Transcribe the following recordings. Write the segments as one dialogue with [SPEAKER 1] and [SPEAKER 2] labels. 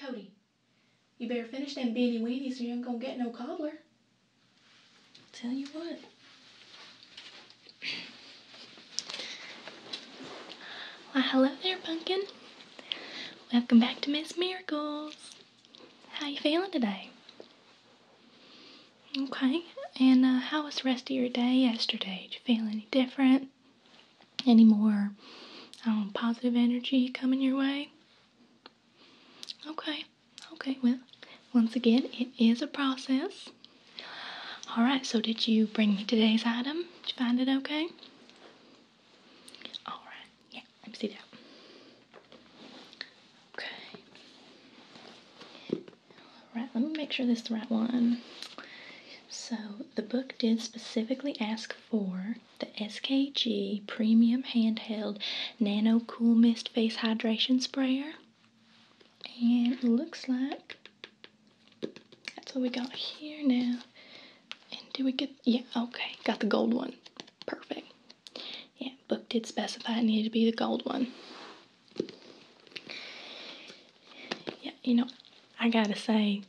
[SPEAKER 1] Cody, you better finish them beanie weenies or you ain't gonna get no cobbler. I'll tell you what. Well, hello there, pumpkin. Welcome back to Miss Miracles. How you feeling today? Okay, and uh, how was the rest of your day yesterday? Did you feel any different? Any more um, positive energy coming your way? Okay, okay, well, once again, it is a process. Alright, so did you bring me today's item? Did you find it okay? Alright, yeah, let me see that. Okay. Alright, let me make sure this is the right one. So, the book did specifically ask for the SKG Premium Handheld Nano Cool Mist Face Hydration Sprayer. And looks like that's what we got here now. And do we get, yeah, okay, got the gold one. Perfect. Yeah, book did specify it needed to be the gold one. Yeah, you know, I gotta say,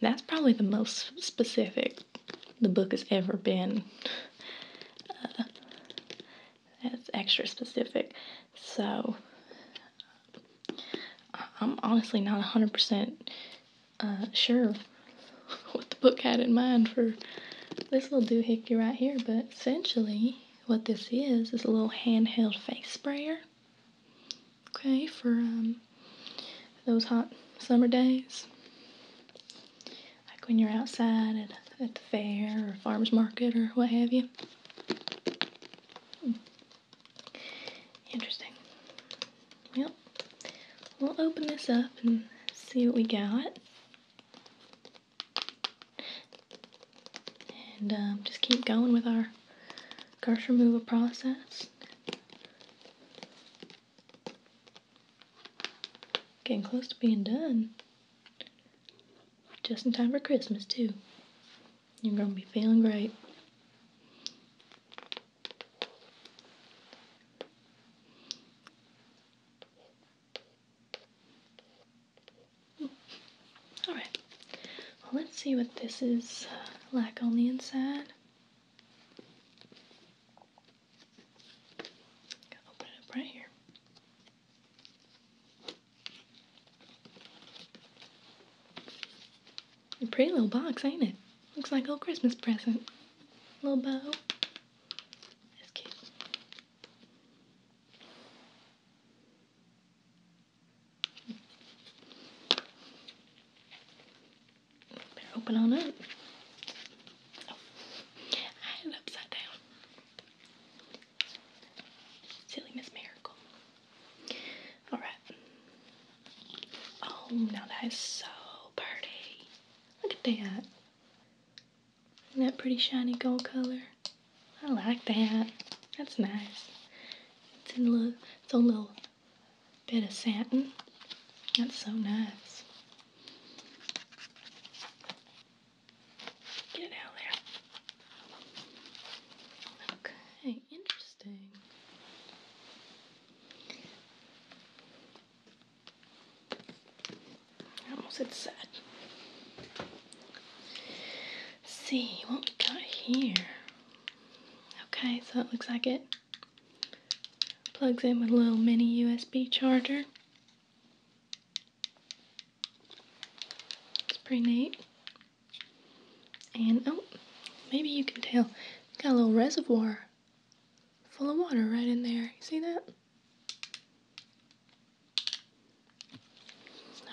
[SPEAKER 1] that's probably the most specific the book has ever been. Uh, that's extra specific. So, I'm honestly not 100% uh, sure what the book had in mind for this little doohickey right here, but essentially what this is is a little handheld face sprayer. Okay, for um, those hot summer days, like when you're outside at, at the fair or farmer's market or what have you. Interesting. Well, we'll open this up and see what we got. And um, just keep going with our curse removal process. Getting close to being done. Just in time for Christmas, too. You're going to be feeling great. Alright, well, let's see what this is uh, like on the inside. open it up right here. A pretty little box, ain't it? Looks like a Christmas present. Little bow. That's cute. open on oh, it upside down. Silly Miss Miracle. Alright. Oh, now that is so pretty. Look at that. Isn't that pretty shiny gold color? I like that. That's nice. It's a little, it's a little bit of satin. That's so nice. Get out of there interesting. I almost said sad. see what we got here. Okay, so it looks like it plugs in with a little mini USB charger. It's pretty neat. And oh, maybe you can tell. Got a little reservoir full of water right in there. You see that?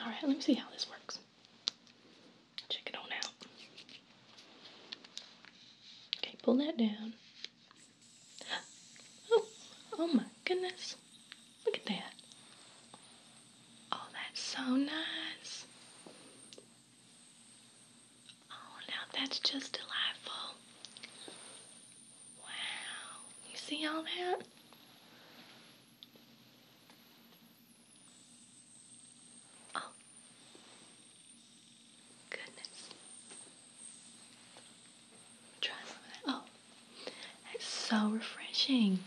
[SPEAKER 1] All right, let me see how this works. Check it on out. Okay, pull that down. Oh, oh my goodness. Look at that. Oh, that's so nice. Oh, now that's just delightful. Wow. You see all that? Oh. Goodness. Try some of that. Oh. That's so refreshing.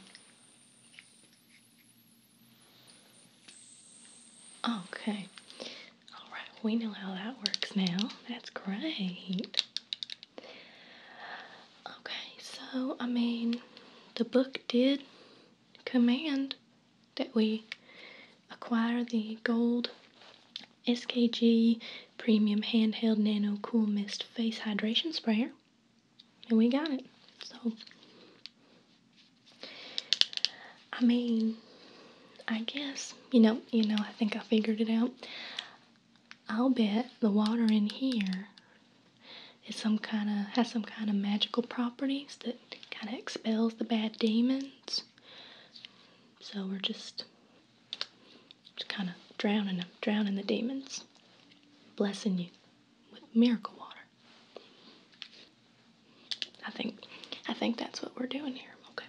[SPEAKER 1] Okay. All right, we know how that works now. That's great. Okay, so I mean, the book did command that we acquire the gold SKG Premium Handheld Nano Cool Mist Face Hydration Sprayer and we got it. So, I mean, I guess you know, you know. I think I figured it out. I'll bet the water in here is some kind of has some kind of magical properties that kind of expels the bad demons. So we're just just kind of drowning them, drowning the demons, blessing you with miracle water. I think I think that's what we're doing here. Okay.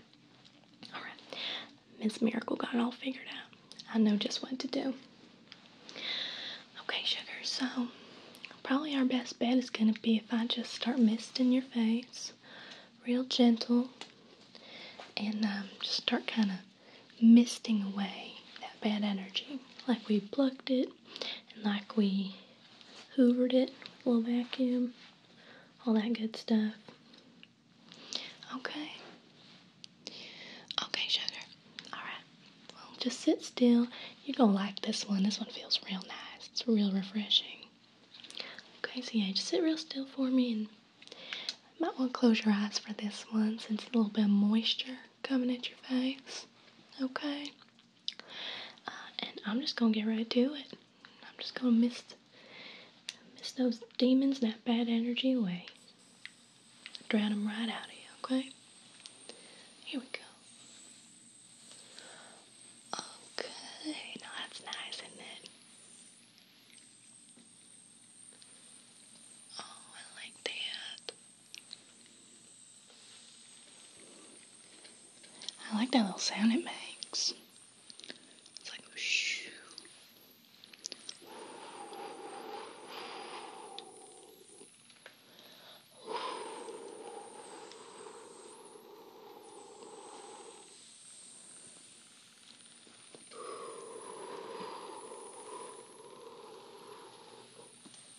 [SPEAKER 1] All right. Miss Miracle got it all figured out. I know just what to do. Okay, sugar. So probably our best bet is gonna be if I just start misting your face, real gentle, and um, just start kind of misting away that bad energy, like we plucked it and like we hoovered it we'll vacuum, all that good stuff. Okay. Okay, sugar. Alright. Well, just sit still. You're gonna like this one. This one feels real nice. It's real refreshing. Okay, so yeah, just sit real still for me and you might want to close your eyes for this one since it's a little bit of moisture coming at your face. Okay? Uh, and I'm just gonna get right to it. I'm just gonna mist, mist those demons that bad energy away. Drown them right out of you, okay? Here we go. Okay, that's nice, isn't it? Oh, I like that. I like that little sound it makes. It's like shoo.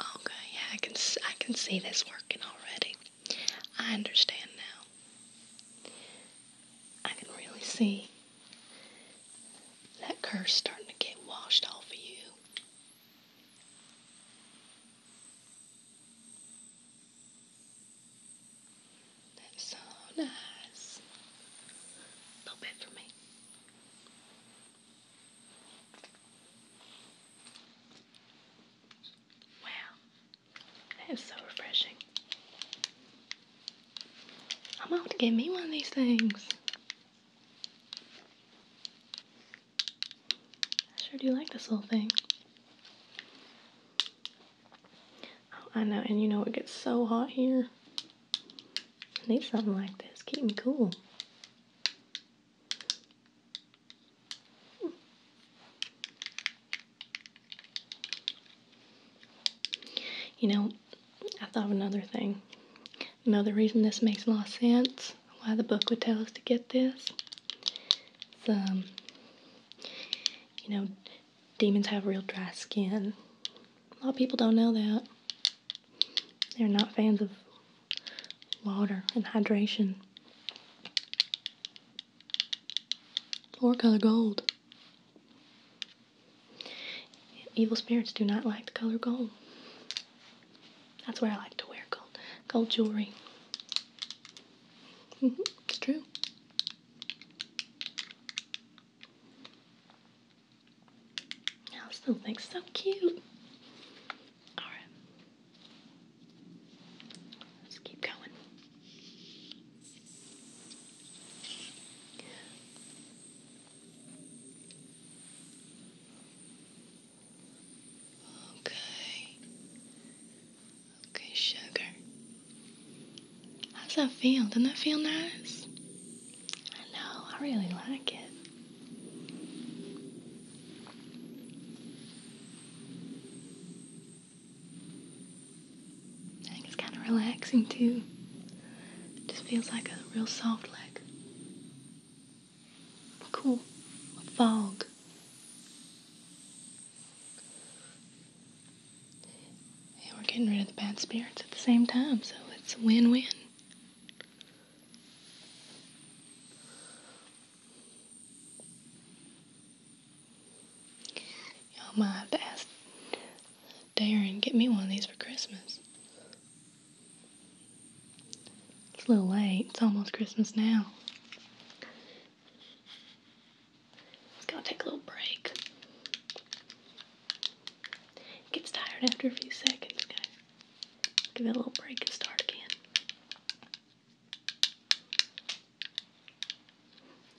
[SPEAKER 1] Okay, oh, yeah, I can I can see that's working already. I understand now. I can really see that curse starting to get washed off of you. That's so nice. A little for me. Wow, that is so refreshing. I'm going to get me one of these things. I sure do like this little thing. I know, and you know it gets so hot here. I need something like this. Keep me cool. You know, I thought of another thing. Another reason this makes a lot of sense, why the book would tell us to get this. It's, um, you know, demons have real dry skin. A lot of people don't know that. They're not fans of water and hydration. Or color gold. Evil spirits do not like the color gold. That's why I like to wear gold. Gold jewelry. it's true. I still think so cute. Alright. Let's keep going. Okay. Okay, sugar. How's that feel? Doesn't that feel nice? I know, I really like it. I think it's kind of relaxing too. It just feels like a real soft leg. Cool. fog. And we're getting rid of the bad spirits at the same time, so it's a win win. Y'all might have Darren get me one of these for Christmas. It's a little late, it's almost Christmas now. It's gonna take a little break. It gets tired after a few seconds, guys. Okay? Give it a little break and start again.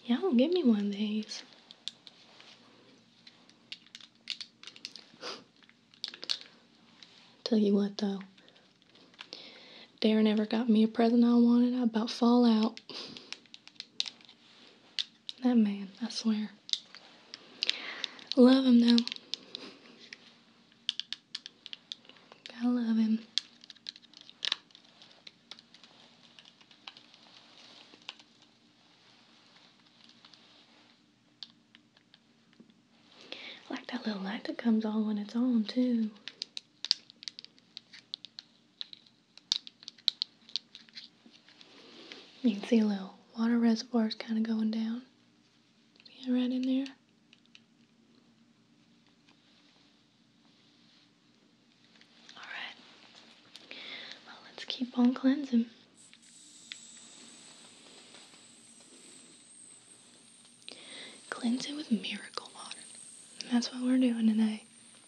[SPEAKER 1] Y'all give me one of these. Tell you what though. Darren ever got me a present I wanted, I about fall out. That man, I swear. Love him though. I love him. like that little light that comes on when it's on too. You can see a little water reservoirs kind of going down. Yeah, right in there. Alright. let's keep on cleansing. Cleansing with miracle water. that's what we're doing today.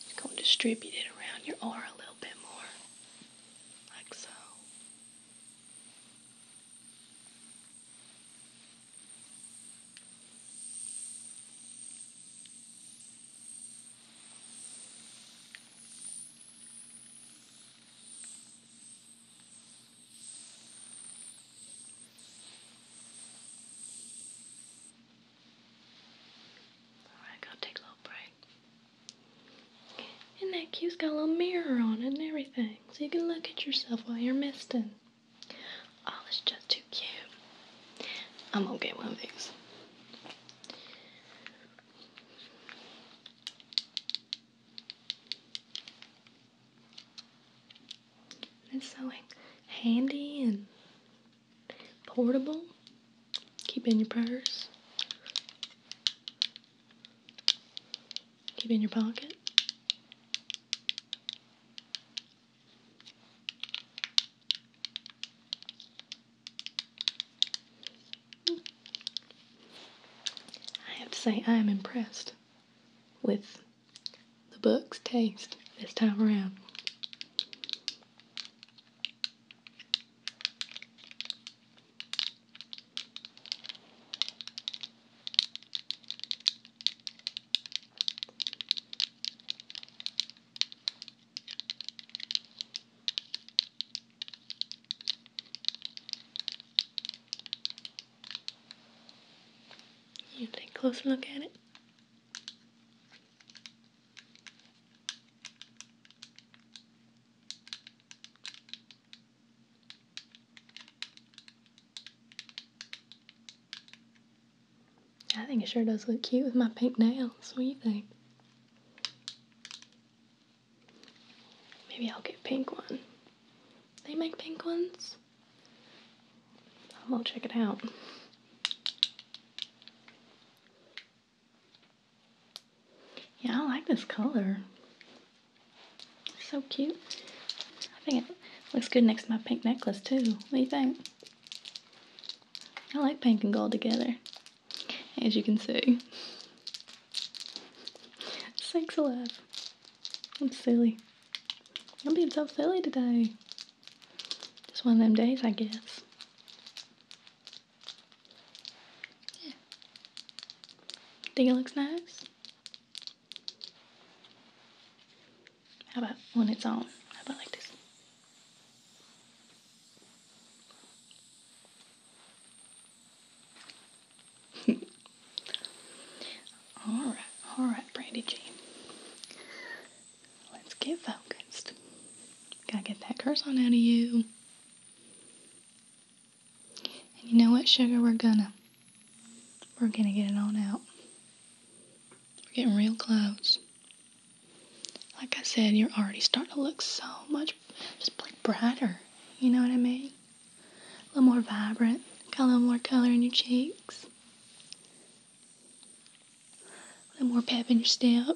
[SPEAKER 1] Just gonna distribute it around your aura a little bit more, like so. Alright, got take a little break. And that cute's got a little mirror on it and everything, so you can look at yourself while you're misting. Oh, it's just too cute. I'm gonna get one of these. It's so handy and portable. Keep in your purse. Keep in your pocket. I have to say, I am impressed with the book's taste this time around. You take a closer look at it. I think it sure does look cute with my pink nails. What do you think? Maybe I'll get pink one. They make pink ones? I'll check it out. Yeah, I like this color. so cute. I think it looks good next to my pink necklace too. What do you think? I like pink and gold together, as you can see. Thanks a lot. I'm silly. I'm being so silly today. Just one of them days, I guess. Yeah. Think it looks nice? How about when it's on? How about like this? All right, all right, Brandy Jean. Let's get focused. Gotta get that curse on out of you. And you know what, sugar? We're gonna, we're gonna get it on out. We're getting real close. Like I said, you're already starting to look so much, just like brighter. You know what I mean? A little more vibrant. Got a little more color in your cheeks. A little more pep in your step.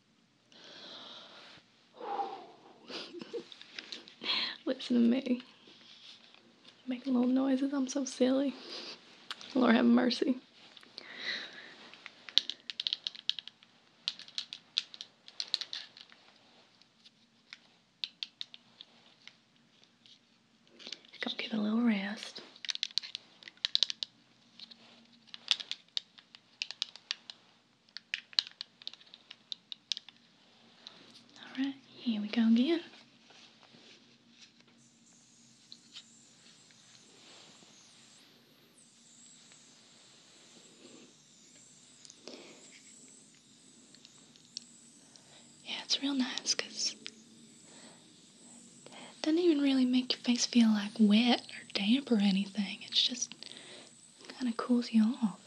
[SPEAKER 1] Listen to me. Making little noises. I'm so silly. Lord have mercy. Go get a little rest. Alright, here we go again. Yeah, it's real nice because doesn't even really make your face feel like wet or damp or anything. It's just kind of cools you off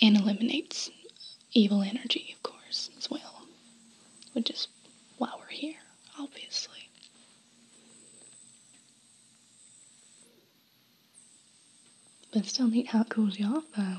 [SPEAKER 1] and eliminates evil energy, of course, as well, which is while we're here, obviously. But still neat how it cools you off, though.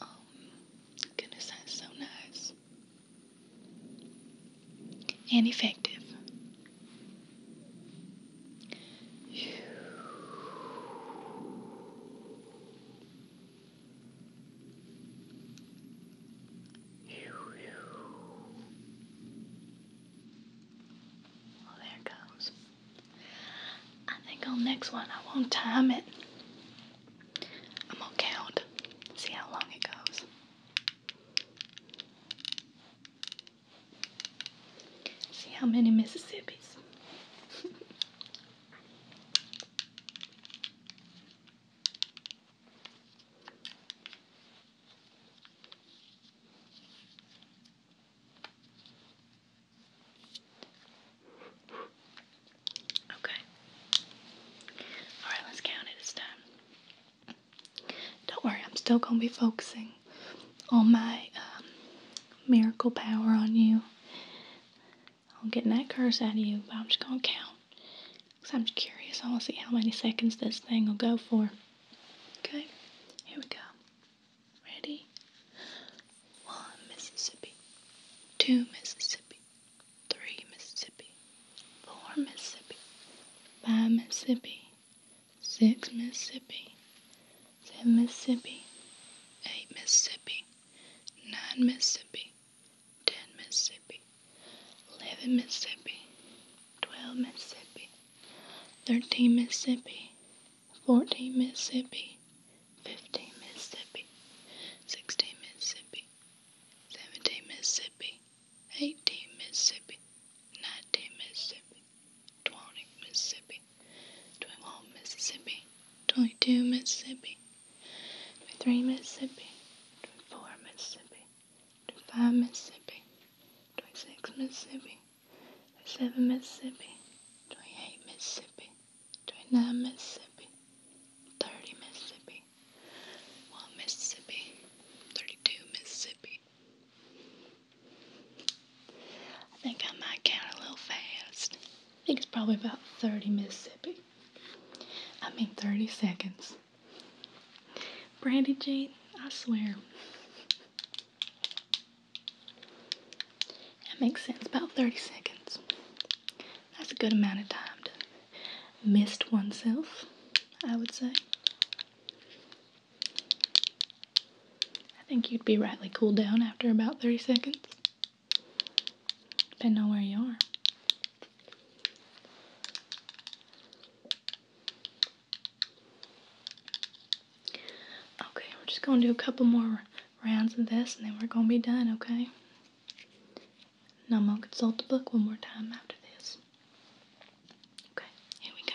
[SPEAKER 1] Um, goodness, that's so nice. And effective. Well, there it goes. I think on next one I won't time it. I'm gonna count, see how long it goes. See how many Mississippis. Okay. Alright, let's count it. It's time. Don't worry, I'm still going to be focusing on my um, miracle power on you. I'm getting that curse out of you, but I'm just going to count. Because I'm just curious. I want to see how many seconds this thing will go for. Okay, here we go. Ready? One Mississippi, two Mississippi, three Mississippi, four Mississippi, five Mississippi, six Mississippi, seven Mississippi, eight Mississippi, nine Mississippi, ten Mississippi, eleven Mississippi, twelve Mississippi, thirteen Mississippi, 14 Mississippi, 15 Mississippi, 16 Mississippi, 17 Mississippi, 18 Mississippi, 19 Mississippi, 20 Mississippi, 21 Mississippi, 22 Mississippi, 23 Mississippi, 24 Mississippi, 25 Mississippi, 26 Mississippi, 27 Mississippi, 28 Mississippi. Twenty Mississippi, thirty Mississippi, one Mississippi, thirty-two Mississippi. I think I might count a little fast. I think it's probably about thirty Mississippi. I mean thirty seconds. Brandy Jane, I swear. That makes sense, about 30 seconds. That's a good amount of time to mist oneself, I would say. I think you'd be rightly cooled down after about 30 seconds, depending on where you are. Okay, we're just gonna do a couple more rounds of this and then we're going to be done, okay? Now I'm going to consult the book one more time after this. Okay, here we go.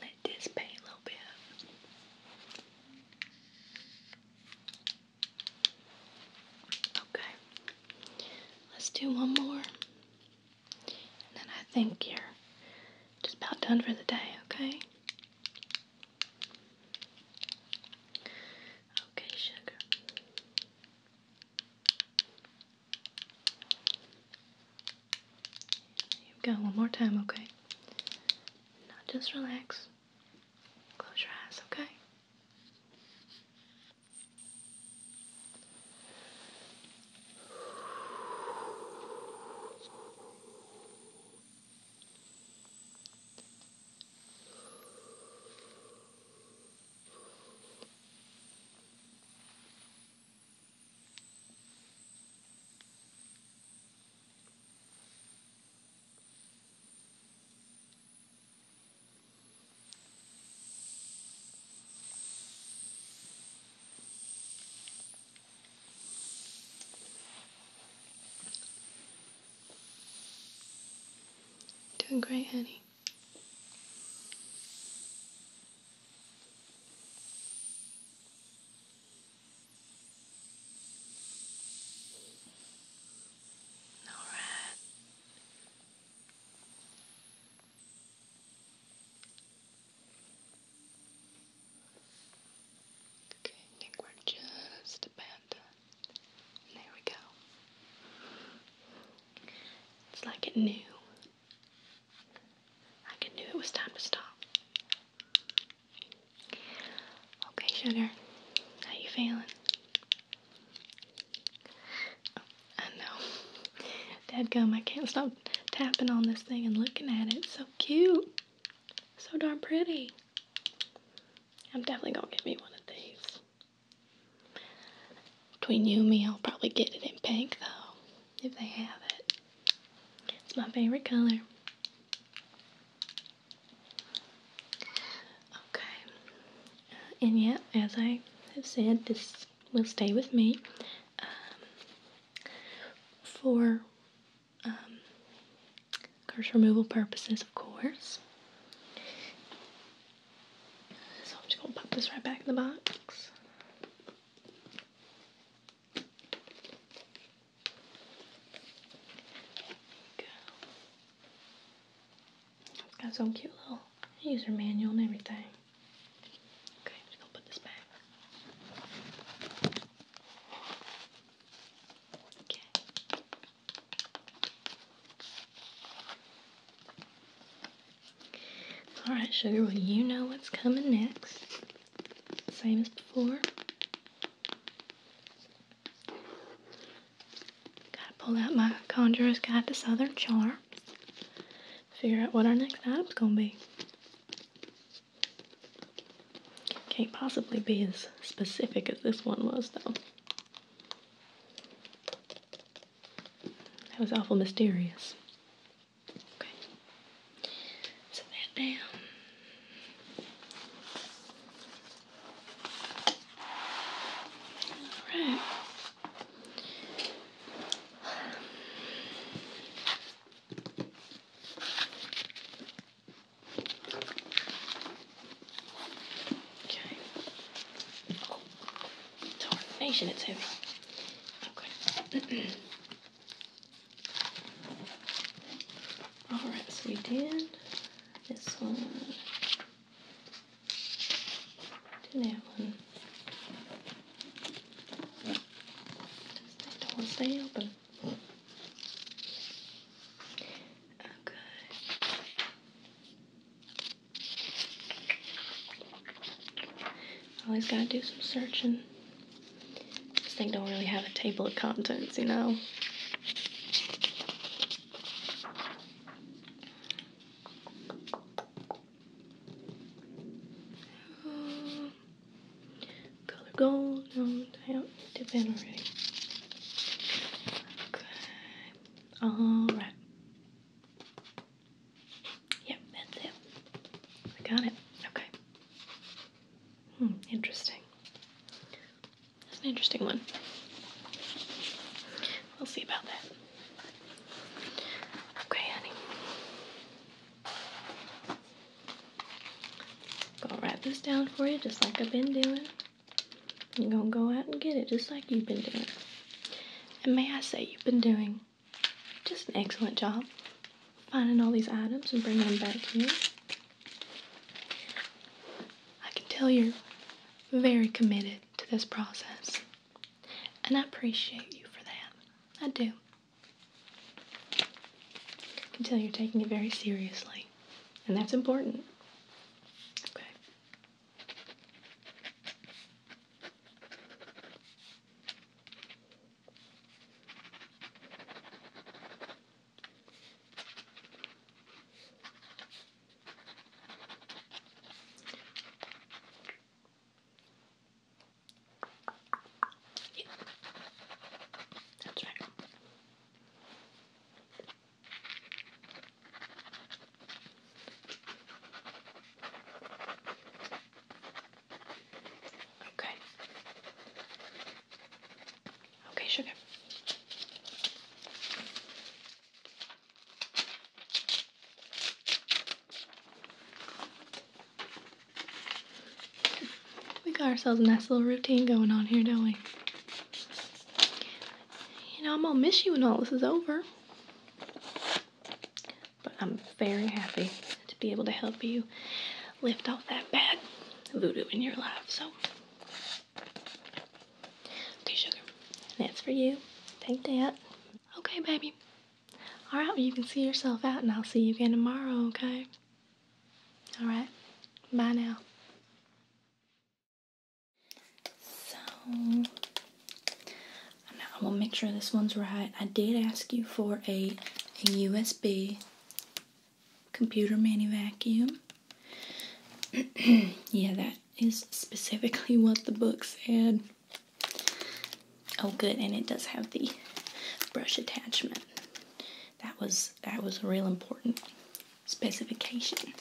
[SPEAKER 1] Let this paint a little bit. Okay. Let's do one more. And then I think you're just about done for the day, okay? Okay, sugar. You've got one more time, okay? Now just relax. Close your eyes, okay? Doing great, honey. All right. Okay, think we're just about There we go. It's like it knew I knew it was time to stop. Okay, sugar. How you feeling? Oh, I know. Dadgum, I can't stop tapping on this thing and looking at it. so cute. So darn pretty. I'm definitely gonna get me one of these. Between you and me, I'll probably get it in pink though if they have it. It's my favorite color. Okay, and yep, as I have said, this will stay with me um, for um, curse removal purposes, of course. So I'm just gonna pop this right back in the box. It's got some cute little user manual and everything. Okay, just gonna put this back. Okay. All right, sugar, well, you know what's coming next. Same as before. Gotta pull out my Conjurer's Guide to Southern Charm. Figure out what our next item's gonna be. Can't possibly be as specific as this one was, though. That was awful mysterious. Okay. that down. Alright. Okay. It's hard nation, it's heavy. Okay. Alright, so this one. Did that one. Does that door stay open? Okay. Always gotta do some searching. This thing don't really have a table of contents, you know? color gold, no, damn, dip in already. alright. Yep, that's it. We got it. Okay. Hmm, interesting. That's an interesting one. We'll see about that. Okay, honey. Gonna write this down for you just like I've been doing. You're gonna go out and get it just like you've been doing. And may I say, you've been doing just an excellent job finding all these items and bringing them back here. I can tell you're very committed to this process, and I appreciate you for that. I do. I can tell you're taking it very seriously, and that's important. Okay. Yeah. That's right. Okay. Okay, sugar. We got ourselves a nice little routine going on here, don't we? You know, I'm gonna miss you when all this is over. But I'm very happy to be able to help you lift off that bad voodoo in your life. So, okay, sugar, that's for you. Take that. Okay, baby. All right, you can see yourself out, and I'll see you again tomorrow, okay? All right, bye now. So, I want to make sure this one's right. I did ask you for a, USB computer mini vacuum. yeah, that is specifically what the book said. Oh, good, and it does have the brush attachment. That was that was a real important specification.